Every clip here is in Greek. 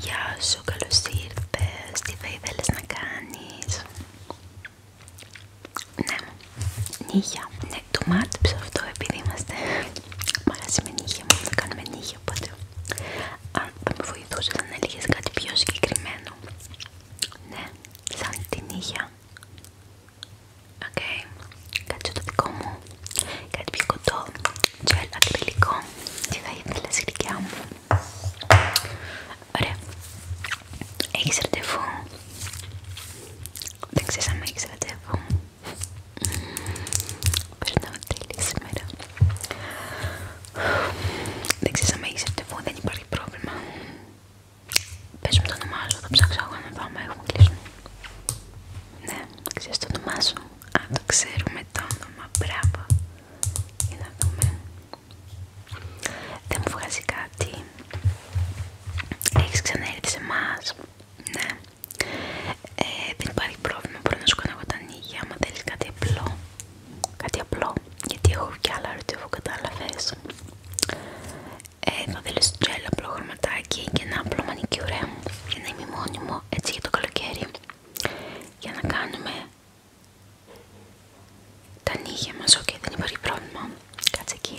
Γεια σου, καλώς ήρθες. Τι θα ήθελες να κάνεις? Ναι, νύχια. Ναι, το μάτυψα αυτό επειδή είμαστε μαγαζί με νύχια. Μόνο κάνουμε νύχια, οπότε αν θα με βοηθούσε θα έλεγες κάτι πιο συγκεκριμένο. Ναι, σαν την νύχια. Οκ, κάτι το δικό μου. Κάτι πιο κοντό gel ακριλικό τι θα ήθελα στη δικιά μου. Ωραία. Έχεις ραντεβού. Δεν ξέρεις αν έχεις ραντεβού. Περνάω τέλεια σήμερα. Δεν ξέρεις αν έχεις ραντεβού, δεν υπάρχει πρόβλημα. Πες μου το όνομά σου, θα ψάξω εγώ να πάμε, έχουμε Ναι, ξέρεις το όνομά Α, το ξέρουμε το όνομα, μπράβο. Για να δούμε. Δεν μου βγάζει κάτι. Έχεις ξαναέρθει σε εμάς. Ναι. Ε, δεν υπάρχει πρόβλημα, μπορώ να σου κάνω εγώ τα νύχια, άμα θέλεις κάτι απλό. Κάτι απλό, γιατί έχω κι άλλα ρωτήφου κατάλαβες. Ε, θα θέλεις τζέλ απλό χρωματάκι και ένα απλό μανικιουρέ για να είμαι μόνιμο έτσι για το καλοκαίρι για να κάνουμε τα νύχια μας, οκ δεν υπάρχει πρόβλημα, κάτσε εκεί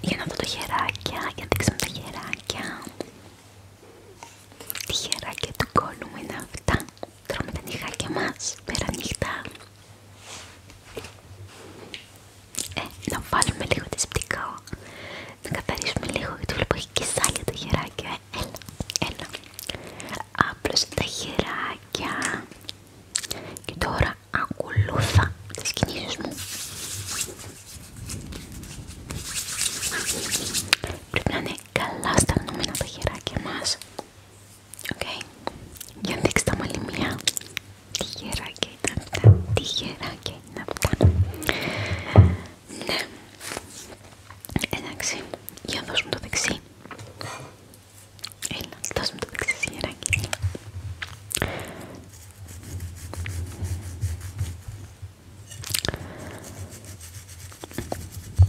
για να δω τα χεράκια, για να δείξουμε τα χεράκια τι χεράκια του κόλλου μου είναι αυτά τρώμε τα νυχάκια μας πέρα νύχτα ε, να βάλουμε λίγο δεσπτικό. Να καθαρίσουμε λίγο γιατί βλέπω έχει και σάλια τα χεράκι. Ε, έλα, έλα. Άπλωσε τα χεράκια. Και τώρα ακολούθα τις κινήσεις μου. Πρέπει να είναι καλά τα χεράκια μας. για να Για δείξτε τα μαλλιμιά γεράκια είναι αυτά, γεράκια είναι αυτά. Ναι, εντάξει, για να δώσουμε το δεξί. Έλα, δώσουμε το δεξί τυχεράκι.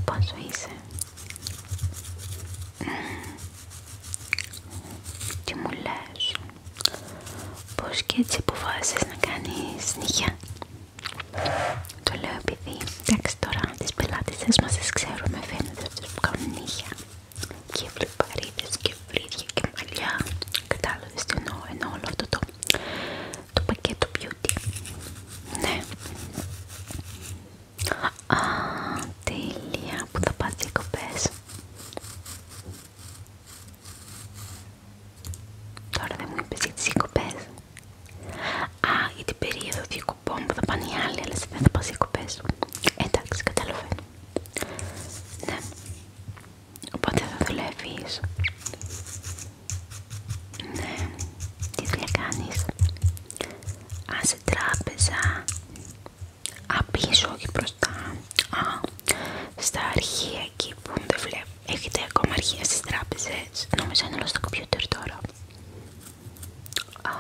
Πόσο είσαι. Τι μου λες. Πώς και έτσι αποφάσισες να κάνεις νύχια. Το λέω επειδή, εντάξει τώρα, τις πελάτησες μας τις ξέρουμε, φαίνεται αυτές που κάνουν νύχια. Και βλεπαρίδες και βρύδια και μαλλιά. Κατάλαβες τι εννοώ, εννοώ όλο αυτό το, το πακέτο beauty. Ναι. Α, τέλεια, που θα πας κοπές. Τώρα δεν μου είπες για τις Α, για την περίοδο διακοπών που θα πάνε οι άλλοι, αλλά εσύ δεν θα πας οικοπές. Εντάξει, κατάλαβα. Ναι. Οπότε θα δουλεύεις. Ναι. Τι δουλειά κάνεις. Α, σε τράπεζα απίσω, όχι μπροστά. Α, στα αρχεία εκεί που δεν βλέπω. Έχετε ακόμα αρχεία στις τράπεζες. Νομίζω είναι όλο στο κομπιούτερ τώρα. Α,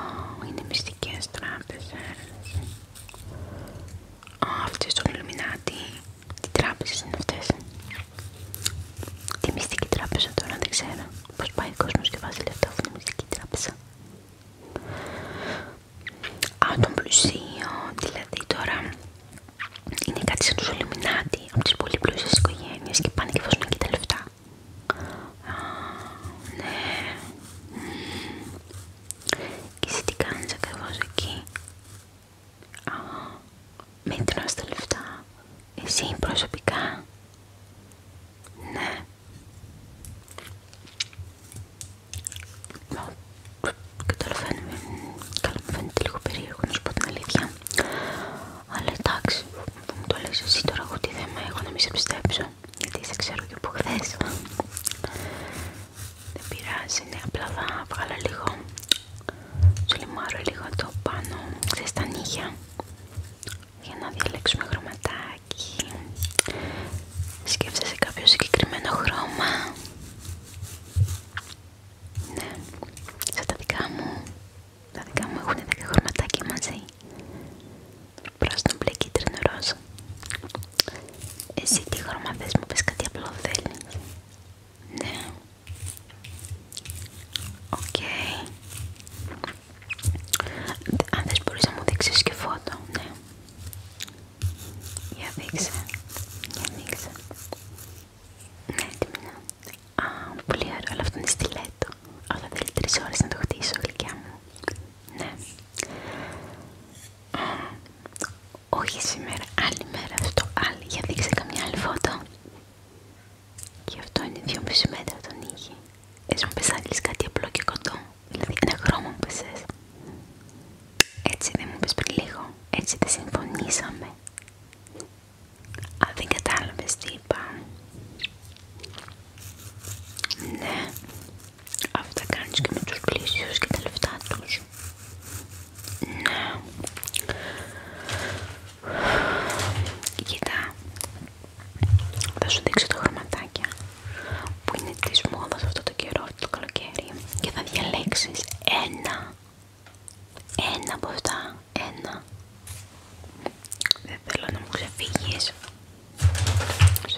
είναι μυστικές τράπεζες. Α, αυτές στον Ιλουμινάτη. Τι τράπεζες είναι αυτές. Τι μυστική τράπεζα τώρα, δεν ξέρω. Πώς πάει ο κόσμος και βάζει λεφτά από τη μυστική τράπεζα. Α, τον πλουσίο, δηλαδή τώρα είναι κάτι σαν τους Ολυμινάτη από τις πολύ πλούσιες οικογένειες και πάνε και βάζουν εκεί τα λεφτά. Α, ναι. Και εσύ τι κάνεις ακριβώς εκεί. Α, μην τρως στα λεφτά. Εσύ προσωπικά. Ναι. Καταλαβαίνουμε, καλά μου φαίνεται λίγο περίεργο να σου πω την αλήθεια Αλλά εντάξει, που μου το λες εσύ τώρα εγώ τι θέμα έχω να μη σε πιστέψω Γιατί σε ξέρω και από χθες Δεν πειράζει, είναι απλά θα βγάλω λίγο Σου λιμάρω λίγο το πάνω, ξέρεις τα νύχια Για να διαλέξουμε χρωματάκι Σκέφτεσαι κάποιο συγκεκριμένο χρώμα. Ναι, σαν τα δικά μου. Τα δικά μου έχουν 10 χρωματάκια μαζί. Πράσινο, μπλε, κίτρινο, ροζ. Εσύ τι χρώμα θες, μου πες κάτι απλό θέλεις. Ναι. Οκ. Αν θες μπορείς να μου δείξεις και φώτο, ναι. Για δείξε. Για δείξε. Ναι, τι Α, πολύ ωραίο, αλλά αυτό είναι στιλέτο. Αλλά θέλει τρεις ώρες να το χτίσω, γλυκιά μου. Ναι. όχι σήμερα, άλλη μέρα στο άλλη. Για δείξε καμιά άλλη φώτο. Και αυτό είναι 2,5 μέτρα το είχε. Έτσι μου πες να κάτι απλό και κοντό, δηλαδή ένα χρώμα μου πες Έτσι δεν μου πες πριν λίγο, έτσι δεν συμφωνήσαμε Α δεν κατάλαβες τι είπα Ναι, αυτά κάνεις και με τους πλήσιους και τα λεφτά τους ναι. Κοίτα, θα σου δείξω τα χρωματάκια που είναι της μόδας αυτό το καιρό, αυτό το καλοκαίρι και θα διαλέξεις ένα, ένα από αυτά, ένα. Δεν θέλω να μου ξεφύγεις. Σε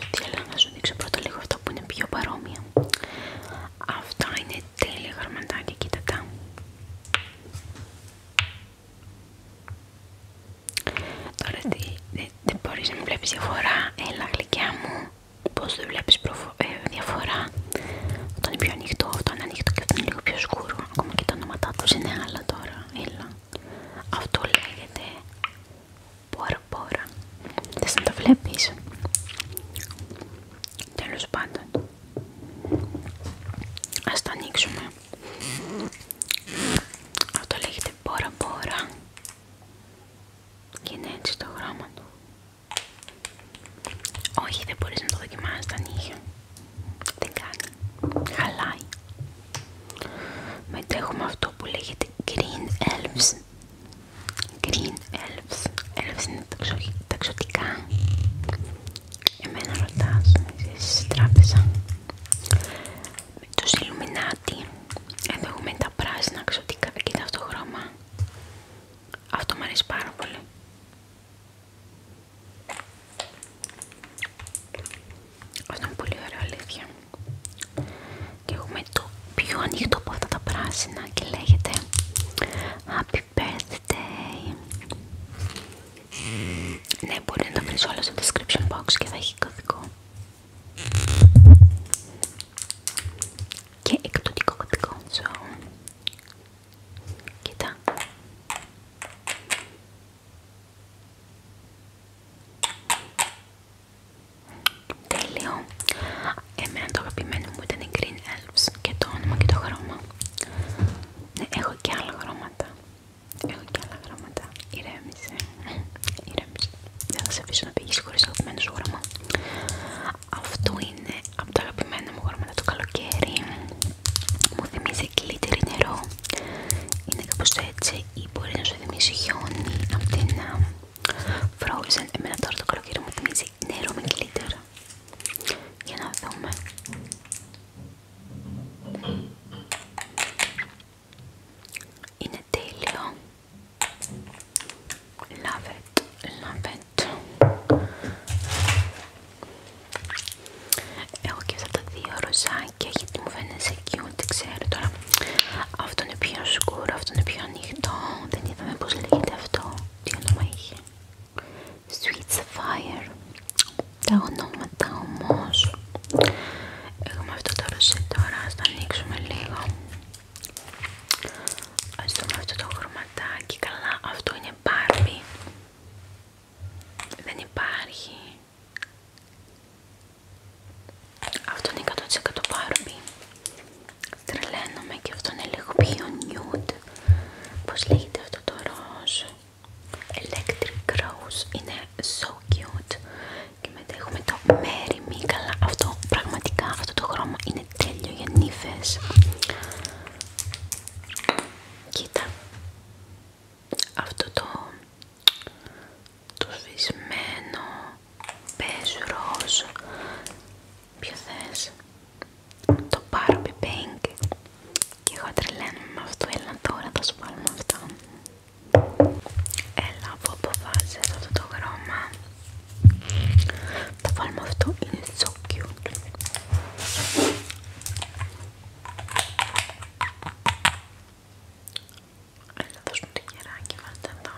να σου δείξω πρώτα λίγο αυτά που είναι πιο παρόμοια. Αυτά είναι τέλεια χρωματάκια, κοίτα τα. Τώρα τι, δεν μπορείς να βλέπεις διαφορά, έλα γλυκιά μου, πώς δεν βλέπεις ε, διαφορά Αυτό είναι πιο ανοιχτό, αυτό είναι ανοιχτό και αυτό είναι λίγο πιο σκούρο, ακόμα και τα όνοματά τους είναι άλλα τώρα, έλα Αυτό λέγεται πόρα πόρα, δεν να τα βλέπεις Τέλος πάντων Ας τα ανοίξουμε αυτό λέγεται πόρα πόρα και είναι έτσι το γράμμα του. Όχι, δεν μπορείς να το δοκιμάσεις τα νύχια. Δεν κάνει. Χαλάει. Μετά έχουμε αυτό που λέγεται Green Elves. Green Elves. Elves είναι ταξωτικά. Εμένα ρωτάς, είσαι στη τράπεζα. Με το εδώ έχουμε τα πράσινα ξωτικά, κοίτα αυτό το χρώμα. Αυτό μου αρέσει πάρα πολύ. Αυτό είναι πολύ ωραίο, αλήθεια. Και έχουμε το πιο ανοιχτό από αυτά τα πράσινα και λέγεται birthday. Ναι, μπορεί να το βρεις όλα στο description box και θα έχει κωδικό. Και εκπτωτικό κωδικό. κοίτα. Τέλειο. Εμένα το αγαπημένο μου ήταν οι Green Elves και το όνομα και το χρώμα. Ναι, έχω και άλλα γραμμάτα, Έχω και άλλα γραμμάτα, Ηρέμησε. Ηρέμησε. Δεν θα σε αφήσω να πήγεις χωρίς το αγαπημένο σου γράμμα. Αυτό είναι από τα αγαπημένα μου γραμμάτα το καλοκαίρι. Μου θυμίζει κλίτερη νερό. Είναι κάπως έτσι ή μπορεί να σου θυμίσει χιόνι από την uh, Frozen. Εμένα τώρα το καλοκαίρι μου θυμίζει νερό με glitter για να δούμε. Είναι τέλειο. Love it, love it. Έχω και αυτά τα δύο ροζάκια γιατί μου φαίνεται cute, ξέρω τώρα. Αυτό είναι πιο σκούρο, αυτό είναι πιο ανοιχτό. Δεν είδαμε πώς λέγεται αυτό. Τι όνομα είχε. Sweet Sapphire τα ονόματα όμως έχουμε αυτό το ροσί τώρα, ας το ανοίξουμε λίγο ας δούμε αυτό το χρωματάκι καλά, αυτό είναι Barbie δεν υπάρχει αυτό είναι 100% Barbie Τρελαίνομαι και αυτό είναι λίγο πιο νιουτ Πώς λέγεται αυτό το ροζ. Electric Rose. Είναι so cute. Και μετά έχουμε το Mary Me. αυτό πραγματικά αυτό το χρώμα είναι τέλειο για νύφες. Κοίτα. Αυτό το το σβησμένο beige ροζ Ποιο θες? Το πάρω πιπέινγκ. Και εγώ τρελαίνομαι με αυτό. Έλα τώρα θα σου πάρουμε αυτό. Έλα όπου αποφάσισες αυτό το χρώμα. Το βάλουμε αυτό. Είναι so cute. Έλα δώσ' μου το κεράκι. Βάλτε εδώ.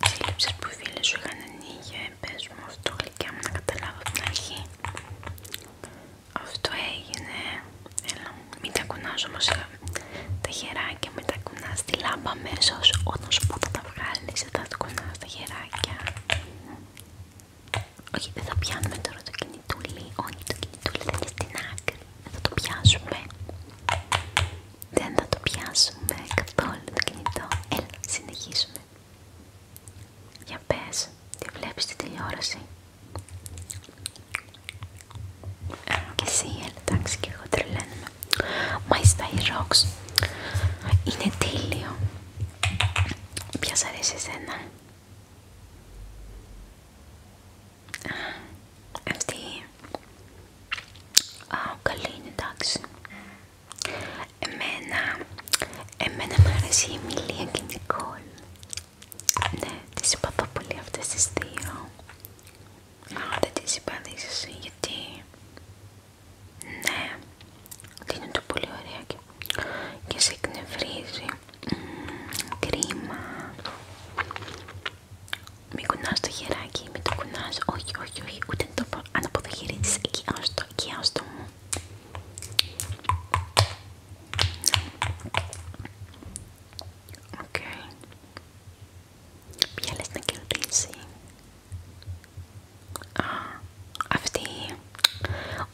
τις έλλειψεις που οι φίλες σου είχαν ανοίγει, ε, πες μου αυτό γλυκιά μου να καταλάβω από την αρχή αυτό έγινε, έλα μην τα κουνάς όμως ε, τα χεράκια, μην τα κουνάς τη λάμπα αμέσως όταν σου πω θα τα βγάλεις, δεν θα τα κουνάς τα χεράκια όχι, δεν θα πιάνουμε τώρα το κινητούλι, όχι το κινητούλι θα είναι στην άκρη, δεν θα το πιάσουμε δεν θα το πιάσουμε καθόλου το κινητό. Έλα, συνεχίσουμε. Για πες, τι βλέπεις τη τηλεόραση. Και εσύ, εντάξει, και εγώ τρελαίνουμε. My Style Rocks. Είναι τέλειο. Ποια σ' αρέσει εσένα. Αυτή. Α, καλή είναι, εντάξει. Εμένα, εμένα μου αρέσει η Εμιλία και η Νικόλ. Ναι, τις συμπαθώ πολύ αυτές τις δύο. Αλλά δεν τις συμπαθείς γιατί... Ναι, ότι είναι το πολύ ωραία και, σε εκνευρίζει. κρίμα. Μην κουνάς το χεράκι, μην το κουνάς, όχι, όχι, όχι, ούτε το πω, αν το χέρι εκεί άστο, εκεί μου. Οκ. Okay. Ποια λες να κερδίσει. Α, αυτή.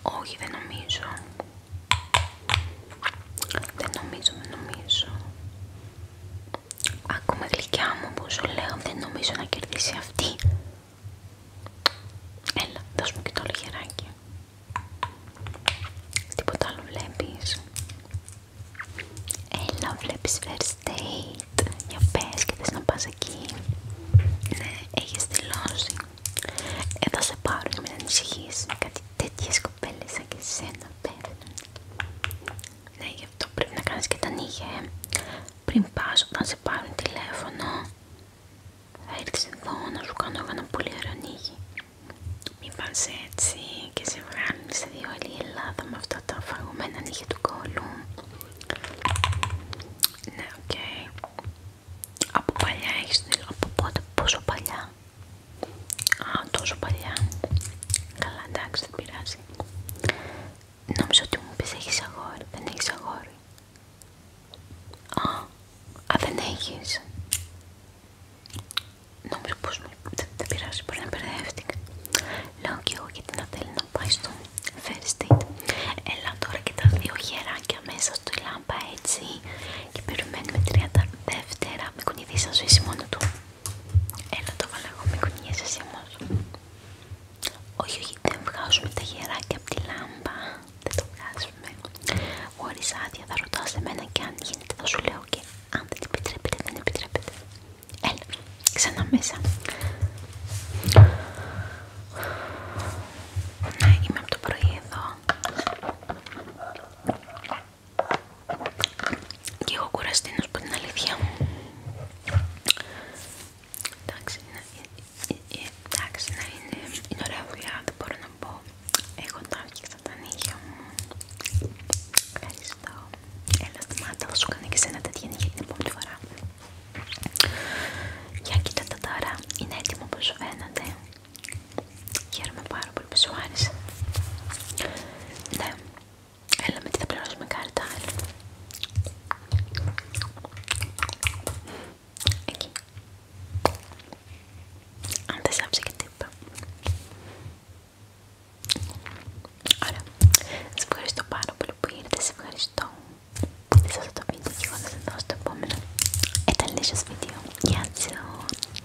Όχι, δεν νομίζω. Δεν νομίζω, δεν νομίζω. Άκουμε γλυκιά μου που σου λέω δεν νομίζω να κερδίσει αυτή. Έλα, δώσ' μου και το λιγεράκι. Τίποτα άλλο βλέπεις. Έλα, βλέπεις first date. Για πες και θες να πας εκεί. Ναι, έχεις τελώσει. Ε, θα σε πάρουν, μην ανησυχείς. Κάτι τέτοιες κοπέλες σαν και εσένα πέφτουν. Ναι, γι' αυτό πρέπει να κάνεις και τα νύχια, ε. Πριν πας, όταν σε πάρουν τηλέφωνο, θα έρθεις εδώ να σου κάνω ένα πολύ ωραίο νύχι. Μην πας έτσι και σε βγάλεις, σε δύο όλη η Ελλάδα με αυτά τα φαγωμένα νύχια του κόλλου. Ναι, οκ. Από παλιά έχεις την από πότε, πόσο παλιά. Α, τόσο παλιά. Καλά, εντάξει, δεν πειράζει. Νόμιζα ότι μου πεις έχεις αγόρι. Δεν έχεις αγόρι. Α, δεν έχεις. Νόμιζα πως Δεν, πειράζει, μπορεί να μπερδεύτηκα. Λέω και εγώ γιατί να θέλει να πάει στο first date. Έλα τώρα και τα δύο χεράκια μέσα στο λάμπα έτσι και περιμένουμε τριάντα δεύτερα. Με κουνηθεί σαν ζωή μόνο του. Έλα το βάλω εγώ, μην κουνιέσαι εσύ όμως. Όχι, όχι, δεν βγάζουμε τα γεράκια από τη λάμπα. Δεν το βγάζουμε. Χωρίς άδεια θα ρωτάς εμένα και αν γίνεται θα σου λέω και αν δεν την επιτρέπετε, δεν επιτρέπετε. Έλα, ξανά μέσα. Ναι, είμαι από το πρωί εδώ και εγώ κουραστεί να σου πω την αλήθεια εντάξει να, ε, ε, ε, εντάξει, να είναι, είναι ωραία δουλειά δεν μπορώ να πω εγώ τα έφτιαξα τα νύχια μου ευχαριστώ έλα στη μάτα θα σου κάνω και σένα τέτοια νύχια την επόμενη φορά για κοίτα τα τώρα είναι έτοιμο όπως φαίνεται Χαίρομαι πάρα πολύ που σου άρεσε. Ναι. Έλα με τι θα πληρώσουμε κάρτα. Έλα. Εκεί. Αν δεν σ' και τύπα. Ωραία. Σας ευχαριστώ πάρα πολύ που ήρθατε. Σας ευχαριστώ που είδες αυτό το βίντεο και εγώ θα σας στο επόμενο. βίντεο.